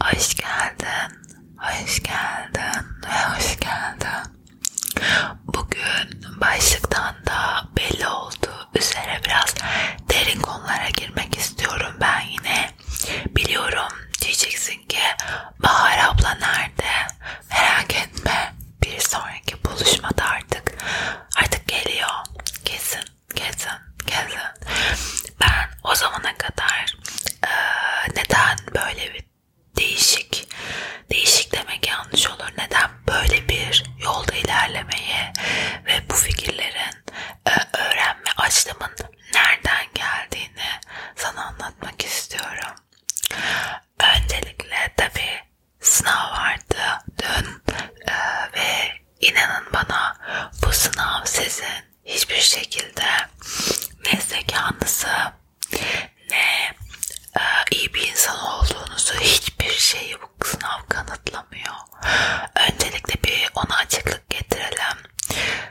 Hoş geldin, hoş geldin ve hoş geldin. Bugün başlıktan da belli oldu üzere biraz derin konulara girmek istiyorum ben yine. Biliyorum diyeceksin ki Bahar abla nerede? Merak etme bir sonraki buluşmada artık artık geliyor kesin gezin, gezin. Ben o zamana kadar e, neden böyle bir değişik, değişik demek yanlış olur. Neden böyle bir yolda ilerlemeye ve bu fikirlerin e, öğrenme açlığımın nereden geldiğini sana anlatmak istiyorum. Öncelikle tabii sınav vardı dün e, ve inanın bana bu sınav sizin hiçbir şekilde ne zekanızı ne e, iyi bir insan olduğunuzu hiçbir şeyi bu sınav kanıtlamıyor. Öncelikle bir ona açıklık getirelim.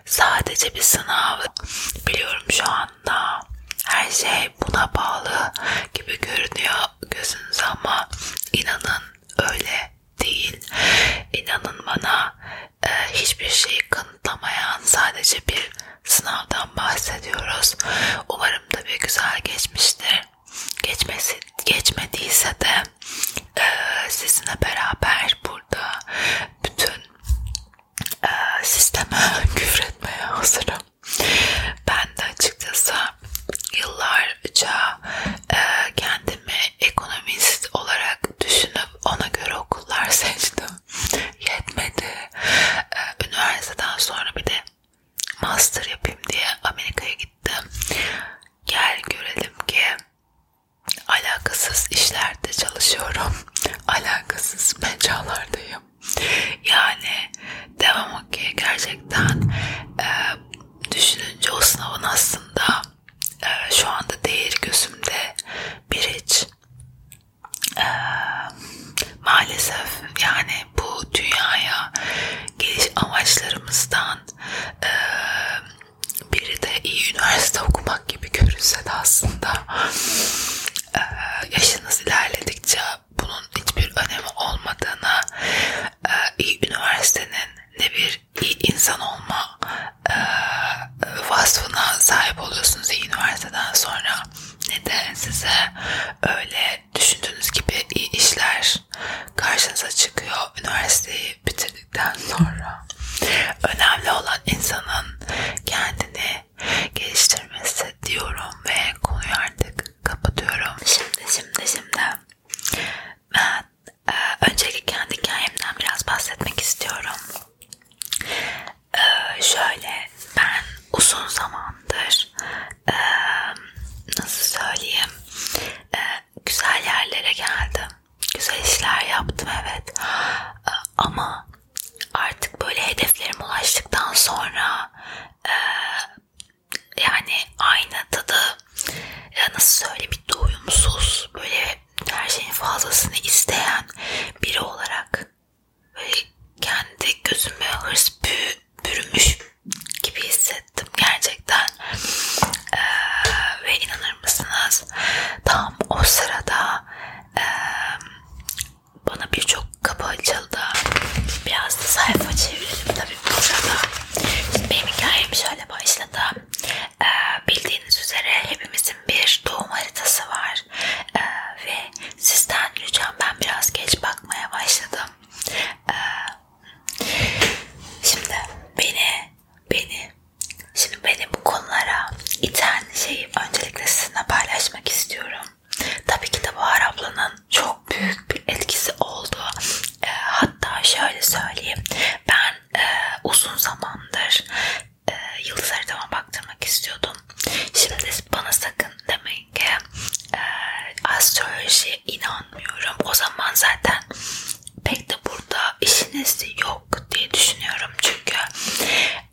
Sadece bir sınav. Biliyorum şu anda her şey buna bağlı gibi görünüyor gözünüz ama inanın öyle değil. İnanın bana e, hiçbir şeyi kanıtlamayan sadece bir sınavdan bahsediyoruz. Umarım da bir güzel geçmiştir. Geçmesi, geçmediyse de e, sizinle beraber burada bütün e, sisteme küfretmeye hazırım. Ben de açıkçası yıllarca e, kendi kendimi ekonomist olarak düşünüp ona göre okullar seçtim. Yetmedi. Ee, üniversiteden sonra bir de master yapayım diye Amerika'ya gittim. Gel görelim ki alakasız işlerde çalışıyorum. Alakasız mecralardayım. Yani devam okey gerçekten e, düşününce o sınavın aslında e, şu anda değer gözümde biriç. E, ee, maalesef yani bu dünyaya geliş amaçlarımızdan e, biri de iyi üniversite okumak gibi görünse de aslında e, yaşınız ilerledikçe bunun hiçbir önemi olmadığını, e, iyi üniversitenin ne bir insan olma e, vasfına sahip oluyorsunuz iyi üniversiteden sonra ne de size öyle düşündüğünüz gibi iyi işler karşınıza çıkıyor üniversiteyi bitirdikten sonra. Önemli olan insanın kendini geliştirmesi diyorum ve konuyu artık kapatıyorum. Şimdi şimdi şimdi ben e, öncelikle kendi hikayemden biraz bahsetmek istiyorum. E, şöyle ben uzun zamandır e, nasıl söyleyeyim e, güzel yerlere geldim. Güzel işler yaptım evet. E, ama artık böyle hedeflerime ulaştıktan sonra e, yani aynı tadı ya nasıl söyle bir doyumsuz böyle her şeyin fazlasını isteyen biri olarak böyle kendi gözüme hırs bü, bürümüş gibi hissettim gerçekten ee, ve inanır mısınız tam o sırada e, bana birçok kapı açıldı biraz da sayfa çevirdim tabii burada benim hikayem şöyle başladı ee, bildiğiniz üzere hepimizin bir doğum haritası var ee, ve sizden lütfen ben biraz geç bakmaya başladım. Ee, şimdi beni beni şimdi beni bu konulara iten şeyi öncelikle sizinle paylaşmak istiyorum. Tabii ki de Bahar ablanın çok büyük bir etkisi oldu. Hatta şöyle söyleyeyim ben ben e, uzun zamandır e, yıldızlara devam baktırmak istiyordum. Şimdi bana sakın demeyin ki e, astrolojiye inanmıyorum. O zaman zaten pek de burada işiniz yok diye düşünüyorum. Çünkü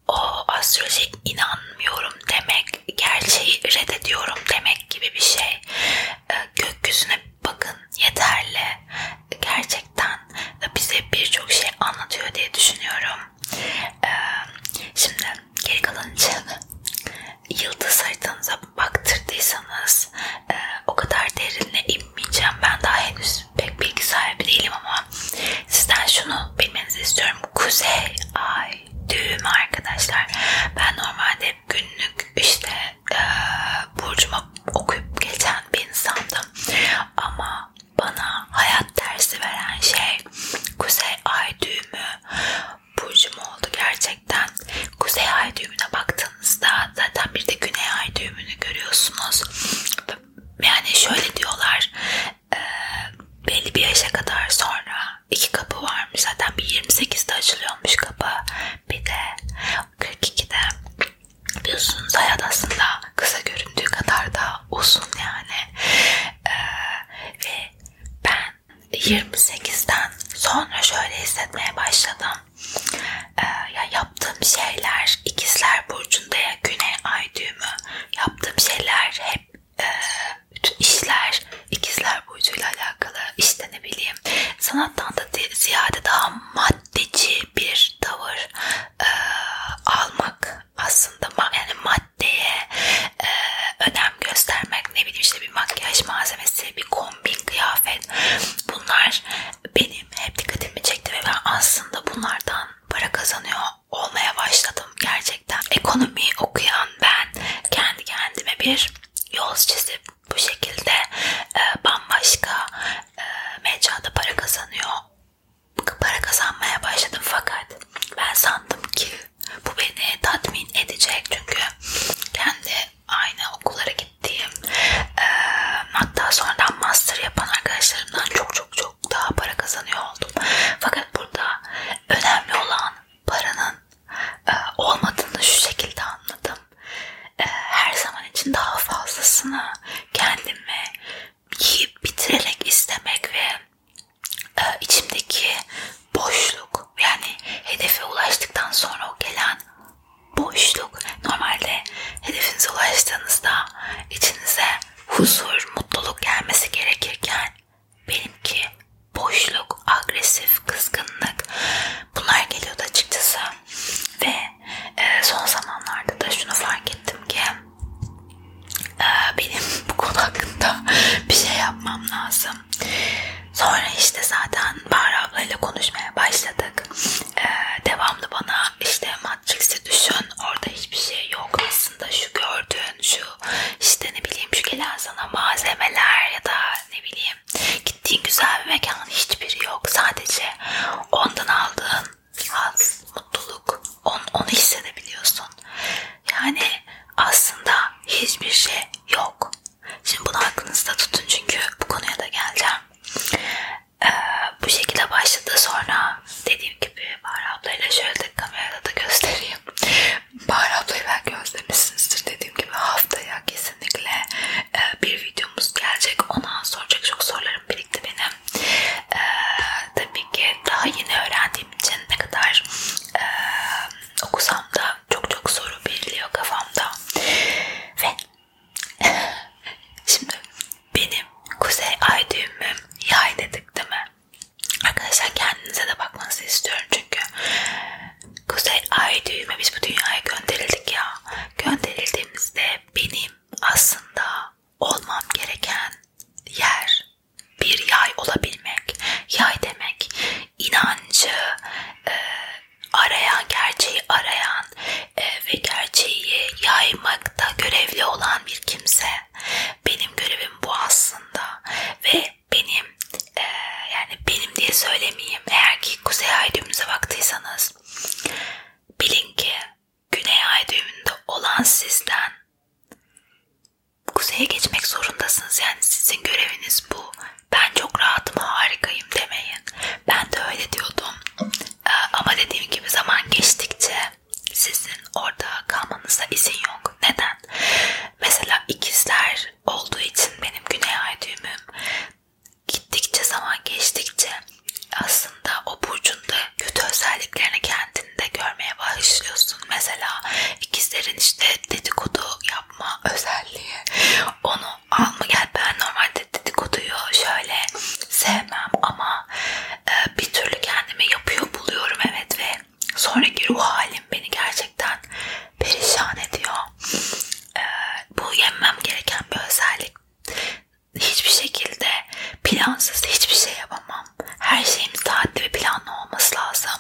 o astrolojiye inanmıyorum demek gerçeği reddediyorum demek gibi bir şey gökyüzüne bakın yeterli. Gerçekten bize birçok şey anlatıyor diye düşünüyorum. Ee, şimdi geri kalan için yıldız haritanıza baktırdıysanız e, o kadar derinle inmeyeceğim. Ben daha henüz pek bilgi sahibi değilim ama sizden şunu bilmenizi istiyorum. Kuzey ay düğümü arkadaşlar. Ben normalde günlük işte e, burcuma okuyup geçen bir insandım. Ama bana hayat dersi veren şey Kuzey Ay düğümü burcum oldu gerçekten. Kuzey Ay düğümüne baktığınızda zaten bir de Güney Ay düğümünü görüyorsunuz. Yani şöyle diyorlar e, belli bir yaşa kadar sonra iki kapı varmış zaten bir 28'de açılıyormuş kapı bir de 42'de biliyorsunuz hayat aslında kısa göründüğü kadar da uzun yani ee, ve ben 28'den sonra şöyle hissetmeye başladım ee, ya yaptığım şeyler ikizler burcunda ya güney ay düğümü yaptığım şeyler hep e, bütün işler ikizler burcuyla alakalı işte ne bileyim sanattan da ziyade daha maddeci bir tavır e, almak aslında yani maddeye e, önem göstermek ne bileyim işte bir makyaj malzemesi bir kombin kıyafet bunlar benim hep dikkatimi çekti ve ben aslında bunlardan para kazanıyor olmaya başladım gerçekten ekonomi okuyan ben kendi kendime bir yol çizip bu şekilde e, bambaşka e, mecrada para kazanıyor. Para kazanmaya başladım fakat ben sandım ki bu beni tatmin edecek çünkü kendi aynı okullara gittiğim e, hatta sonradan master yapan arkadaşlarımdan çok çok çok daha para kazanıyor oldum. Fakat burada önemli olan paranın e, olmadığını şu şekilde anladım. E, her zaman için daha fazlasını kendimi yiyip bitirerek istemek ve e, içimdeki boşluk yani hedefe ulaştıktan sonra o gelen boşluk normalde hedefinize ulaştığınızda içinize huzur, mutluluk gelmesi gerekirken benimki boşluk soğuk, agresif, kızgınlık bunlar geliyordu açıkçası. Ve e, son zamanlarda da şunu fark ettim ki e, benim bu konu hakkında bir şey yapmam lazım. Sonra işte zaten Bahar ablayla konuşmaya başladık. Ee, devamlı bana işte Matrix'i düşün orada hiçbir şey yok aslında şu gördüğün şu işte ne bileyim şu gelen sana malzemeler ya da ne bileyim Gittiğin güzel bir mekan hiçbiri yok. Sadece ondan aldığın haz, mutluluk, on, onu hissedebiliyorsun. Yani aslında hiçbir şey yok. Şimdi bunu aklınızda tutun çünkü bu konuya da geleceğim. Ee, bu şekilde başladı sonra dediğim gibi Bahar ablayla şöyle de kamerada da göstereyim. Bahar ablayı belki özlemişsinizdir dediğim gibi haftaya kesin kesinlikle e, bir videomuz gelecek. Ondan soracak çok sorularım birikti benim. E, tabii ki daha yeni öğrendiğim için ne kadar e, okusam da çok çok soru belirliyor kafamda. Ve şimdi benim kuzey ay düğümüm yay dedik değil mi? Arkadaşlar kendinize de bakmanızı istiyorum çünkü Kuzey ay düğüme biz bu dünyaya gönderildik ya. Gönderildiğimizde benim aslında olmam gereken yer bir yay olabilmek. Yay demek inancı e, arayan, gerçeği arayan e, ve gerçeği yaymakta görevli olan bir kimse. Benim görevim bu aslında ve benim e, yani benim diye söylemeyeyim. Eğer ki kuzey ay düğümünüze baktıysanız bilin ki güney ay düğümünde olan sizden kuzeye geçmek zorundasınız. Yani sizin göreviniz bu. Ben çok rahatım, harikayım demeyin. Ben de öyle diyordum. E, ama dediğim gibi zaman geçtikçe sizin orada kalmanıza izin yok. Neden? Mesela ikizler olduğu için benim güney ay düğümüm gittikçe zaman geçtikçe aslında o burcunda kötü özelliklerini kendinde görmeye başlıyorsun. Mesela ikizlerin işte dedikodu yapma özelliği. Onu alma gel ben normalde dedikoduyu şöyle sevmem ama e, bir türlü kendimi yapıyor buluyorum evet ve sonraki ruh halim beni gerçekten perişan ediyor. Ee, bu yenmem gereken bir özellik. Hiçbir şekilde plansız hiçbir şey yapamam. Her şeyim saatli ve planlı olması lazım.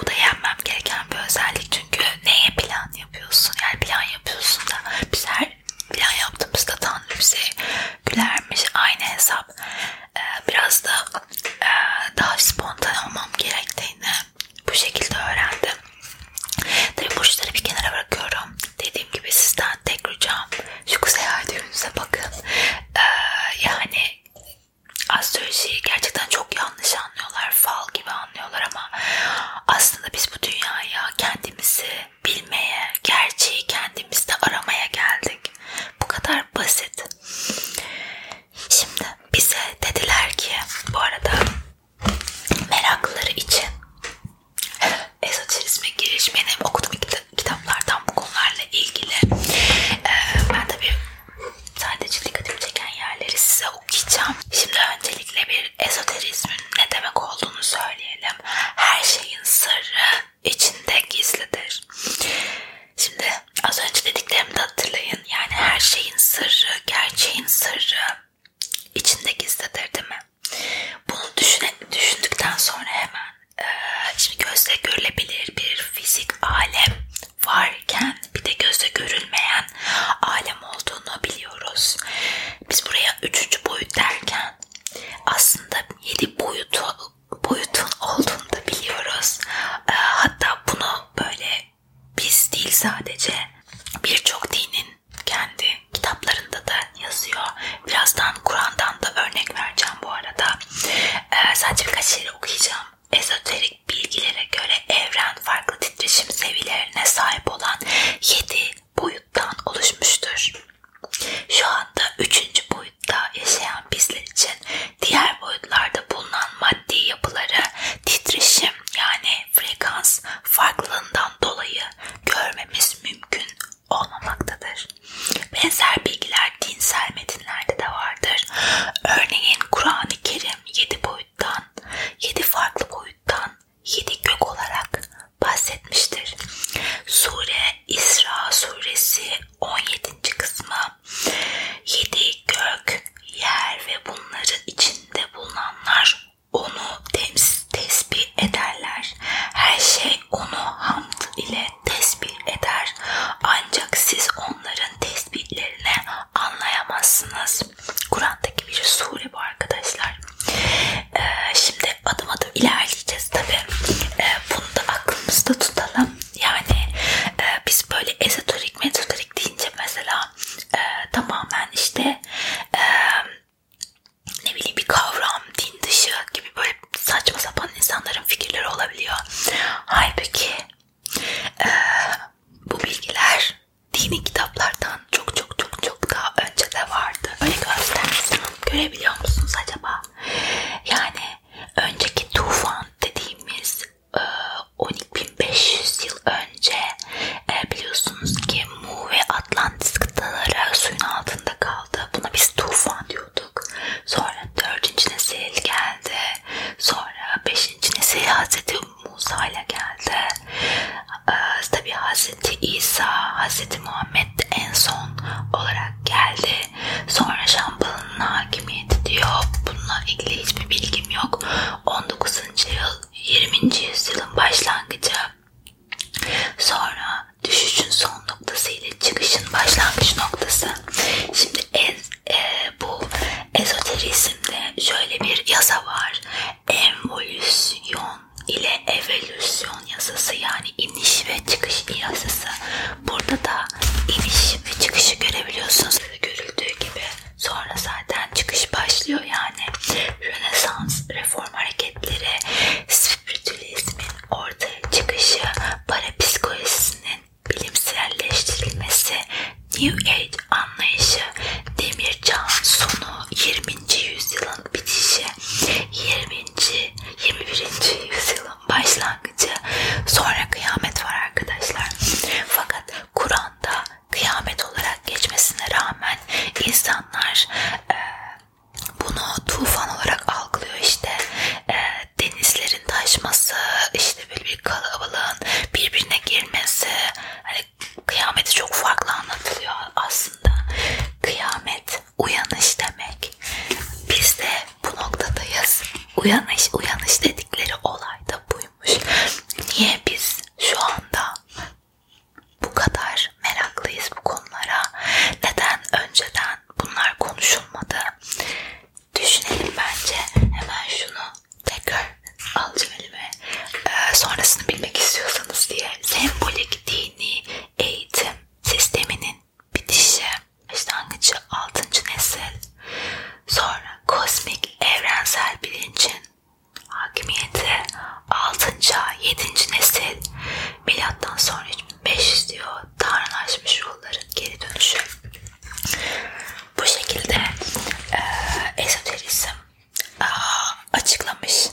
Bu da yenmem gereken bir özellik. Çünkü neye plan yapıyorsun? Yani plan yapıyorsun da biz her plan yaptığımızda Tanrı bize gülermiş. Aynı hesap. Ee, biraz da e, daha spontan olmam gerektiğini bu şekilde öğrendim. Tabi burçları bir kenara bırakıyorum. Dediğim gibi sizden tek ricam şu kuzey ay düğünüze bakın. Ee, yani astrolojiyi gerçekten çok yanlış anlıyorlar. Fal gibi anlıyorlar ama aslında biz bu dünyaya kendimizi bilmeye, gerçeği kendimizde aramaya geldik. Bu kadar basit. Şimdi bize dediler ki bu arada meraklıları için ezoterizme girişmeyen hem okudum kitaplardan bu konularla ilgili ee, ben tabi sadece dikkatimi çeken yerleri size okuyacağım. Şimdi öncelikle bir ezoterizmin ne demek olduğunu söyleyelim. Her şeyin sırrı içinde gizlidir. Şimdi az önce dediklerimi de hatırlayın. Yani her şeyin sırrı, gerçeğin sırrı içinde gizlidir değil mi? Bunu düşüne, düşündükten sonra hemen e, şimdi gözle görülebilir bir fizik alem varken bir de gözle görülmeyen alem olduğunu biliyoruz. Biz buraya üçüncü boyut derken aslında yedi boyutu boyutun olduğunu da biliyoruz. E, hatta bunu böyle biz değil sadece birçok dinin kendi kitaplarında da yazıyor. Birazdan Kur'an'dan da örnek vereceğim bu arada. Ee, sadece birkaç yeri şey okuyacağım. Ezoterik bilgilere göre evren farklı titreşim seviyelerine sahip olan 7 boyuttan oluşmuştur. Şu anda 3. boyutta yaşayan bizler için Diğer boyutlarda bulunan maddi yapıları titreşim yani frekans farklılığından dolayı görmemiz mümkün olmamaktadır. Benzer bilgiler dinsel metinlerde de vardır. Örneğin Kur'an-ı Kerim 7 boyuttan, 7 farklı boyuttan, 7 gök olarak bahsetmiştir. Sure İsra suresi 17. kısmı 7 gök, yer ve bunların içinde bulunanlar onu tesbih ederler. Her şey onu hamd ile tesbih eder. Ancak siz onların tesbihlerini anlayamazsınız. Kur'an'daki bir sure bu arkadaşlar. Ee, şimdi adım adım ilerleyeceğiz tabi. Ee, bunu da aklımızda tutalım. Yani e, biz böyle ezoterik ezoterik mezoterik deyince mesela e, tamamen işte e, ne bileyim bir kavram, din dışı gibi böyle saçma sapan insanların fikirleri olabiliyor. Halbuki e, bu bilgiler dini kitaplardan çok çok çok çok daha önce de vardı. Öyle göstersin. Görebiliyor musunuz acaba? Yani önceki tufan dediğimiz 12.500 yıl önce e, biliyorsunuz ki Mu ve Atlantis kıtaları suyun altında kaldı. Buna biz tufan diyorduk. Sonra 4. nesil geldi. Sonra 5. nesil Hazreti Musa ile geldi. E, Tabi Hazreti İsa, Hazreti Muhammed en son olarak geldi. Sonra Şambal'ın kanunun hakimiyeti diyor. Bununla ilgili hiçbir bilgim yok. 19. yıl 20. yüzyılın başlangıcı sonra düşüşün son noktası ile çıkışın başlangıç noktası. Şimdi ez, e, bu ezoterizmde şöyle bir yasa var. Envolüsyon ile evolüsyon yasası yani iniş ve çıkış yasası. Burada da iniş ve çıkışı görebiliyorsunuz. Görüldüğü gibi Sonra zaten çıkış başlıyor yani. Rönesans, reform hareketleri, spiritüalizmin ortaya çıkışı, parapsikolojisinin bilimselleştirilmesi, New Age anlayışı, demir çağın sonu, 20. yüzyılın bitişi, 20. 21. yüzyılın başlangıcı başlangıcı. Sonra kıyamet var arkadaşlar. Fakat Kur'an'da kıyamet olarak geçmesine rağmen insanlar e, bunu tufan olarak algılıyor işte. E, denizlerin taşması, işte böyle bir kalabalığın birbirine girmesi. Hani kıyameti çok farklı anlatılıyor aslında. Kıyamet uyanış demek. Biz de bu noktadayız. Uyanış, uyanış dedikleri olay da bu oymuş. Niye biz şu anda bu kadar meraklıyız bu konulara? Neden önceden bunlar konuşulmadı? Düşünelim bence. Hemen şunu tekrar alacağım elime. Ee, sonrasını bilmek istiyorsanız diye. Sembolik dini eğitim sisteminin bitişi. İşte 6. nesil Sonra kozmik evrensel bilincin hakimiyeti 6. 7. nesil milattan sonra 500 diyor tanrılaşmış ruhların geri dönüşü. Bu şekilde e, ezoterizm e, açıklamış.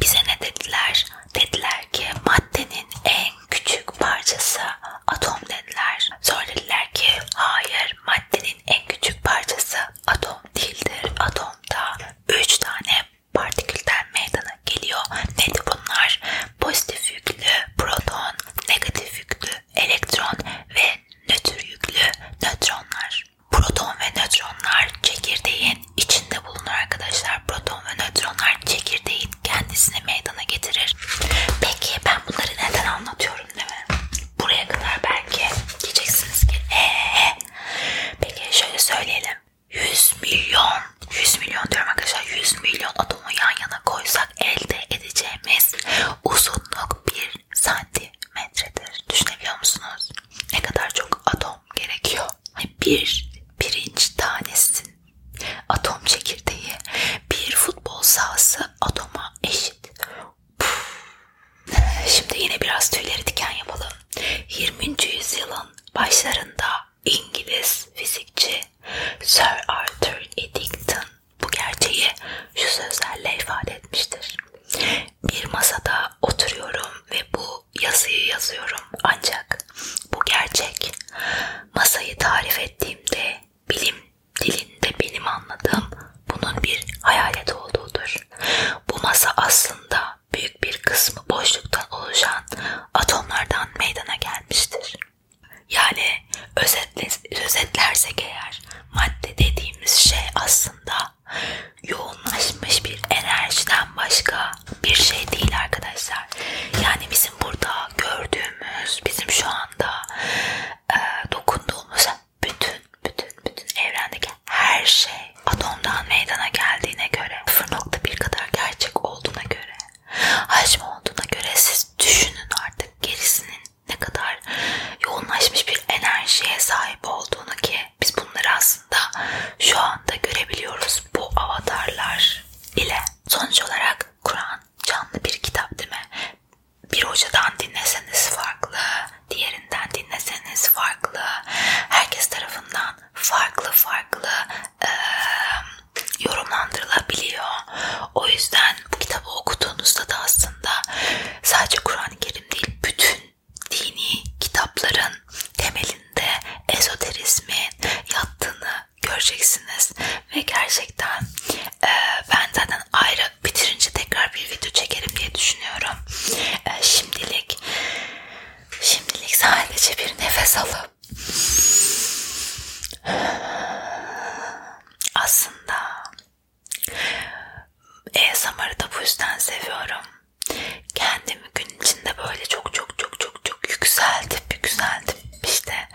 Bize ne dediler? Dediler ki maddenin en küçük parçası atom dediler. Söylediler ki hayır maddenin en küçük parçası atom değildir. Atomda 3 tane partikülden meydana geliyor. Nedir bunlar? Pozitif yüklü proton, negatif yüklü elektron ve nötr yüklü nötronlar. Proton ve nötronlar çekirdeğin içinde bulunur arkadaşlar. Proton ve nötronlar çekirdeğin kendisini meydana getirir. Peki ben bunları neden anlatıyorum? anlatıyorum değil mi? Buraya kadar belki diyeceksiniz ki ee, ee. peki şöyle söyleyelim 100 milyon 100 milyon diyorum arkadaşlar 100 milyon atomu yan yana koysak elde edeceğimiz uzunluk 1 santimetredir. Düşünebiliyor musunuz? Ne kadar çok atom gerekiyor? Bir pirinç tanesinin atom çekirdeği bir futbol sahası atoma eşit. Puh. Şimdi yine biraz tüyleri diken yapalım. 20. yüzyılın başlarında İngiliz fizikçi Sir Arthur Eddington bu gerçeği şu sözlerle ifade etmiştir. Bir masada oturuyorum ve bu yazıyı yazıyorum ancak bu gerçek masayı tarif ettiğimde bilim dilinde benim anladığım bunun bir hayalet olduğudur. Bu masa aslında büyük bir kısmı boşluktan oluşan atomlardan meydana gelmiştir. Yani özetle, özetlersek eğer madde dediğimiz şey aslında yoğunlaşmış bir enerjiden başka bir şey değil arkadaşlar. Yani bizim burada gördüğümüz, bizim şu an anda e, dokunduğumuz bütün bütün bütün evrendeki her şey atomdan meydana geldiğine göre 0.1 kadar gerçek olduğuna göre hacmi olduğuna göre siz düşünün artık gerisinin ne kadar yoğunlaşmış bir enerjiye sahip olduğunu ki biz bunları aslında şu anda görebiliyoruz bu avatarlar ile. Sonuç olarak Kur'an canlı bir kitap değil mi? Bir hocadan dinleseniz farklı, diğerinden dinleseniz farklı, herkes tarafından farklı farklı e, yorumlandırılabiliyor. O yüzden bu kitabı okuduğunuzda da aslında sadece Kur'an-ı Kerim değil, bütün dini kitapların temelinde ezoterizmin yattığını göreceksiniz ve gerçekten e, ben zaten ayrı bitirince tekrar bir video çekerim diye düşünüyorum. E, şimdilik şimdilik sadece bir nefes alıp aslında ASMR'ı da bu yüzden seviyorum. Kendimi gün içinde böyle çok çok çok çok çok yükseltip yükseltip işte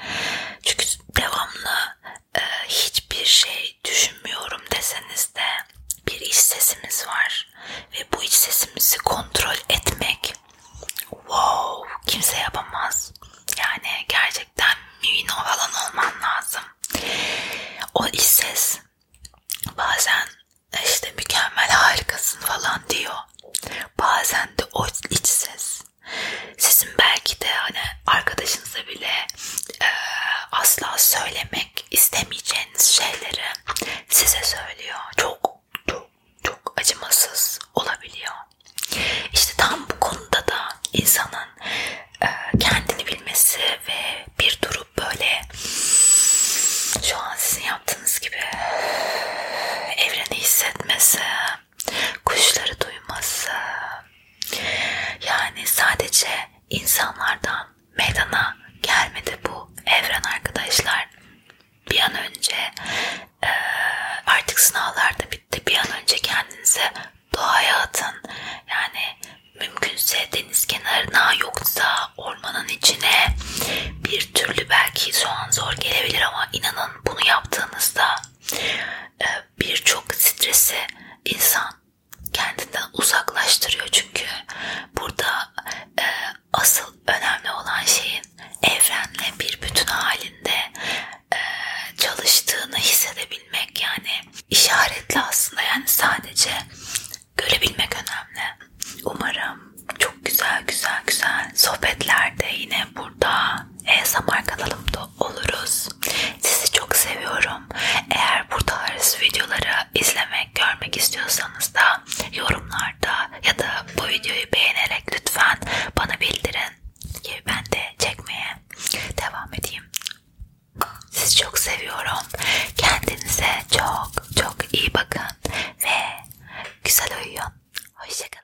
çünkü devamlı e, hiçbir şey düşünmüyorum deseniz de bir iç sesimiz var ve bu iç sesimizi kontrol etmek wow kimse yapamaz. Yani gerçekten müino falan olman lazım. O iç ses bazen işte mükemmel harikasın falan diyor. Bazen de o iç ses sizin belki de hani arkadaşınıza bile e, asla söylemek istemeyeceğiniz şeyleri size söylüyor. Çok çok çok acımasız olabiliyor. İşte tam bu konuda da insanın e, kendini bilmesi ve bir durup böyle şu an sizin yaptığınız gibi evreni hissetmesi kuşları duyması, yani sadece insanlardan meydana gelmedi bu evren arkadaşlar. Bir an önce e, artık sınavlar da bitti. Bir an önce kendinize doğaya atın. Yani mümkünse deniz kenarına yoksa ormanın içine bir türlü belki soğan zor gelebilir ama inanın bunu yaptığınızda ee, birçok stresi insan kendinden uzaklaştırıyor çünkü burada e, asıl önemli olan şeyin evrenle bir bütün halinde e, çalıştığını hissedebilmek yani işaretli aslında yani sadece görebilmek önemli. Umarım çok güzel güzel güzel sohbetlerde yine burada ASMR kanalımda oluruz. Sizi çok seviyorum. Eğer bu tarz videoları izlemek, görmek istiyorsanız da yorumlarda ya da bu videoyu beğenerek lütfen bana bildirin ki ben de çekmeye devam edeyim. Sizi çok seviyorum. Kendinize çok çok iyi bakın ve güzel uyuyun. Hoşçakalın.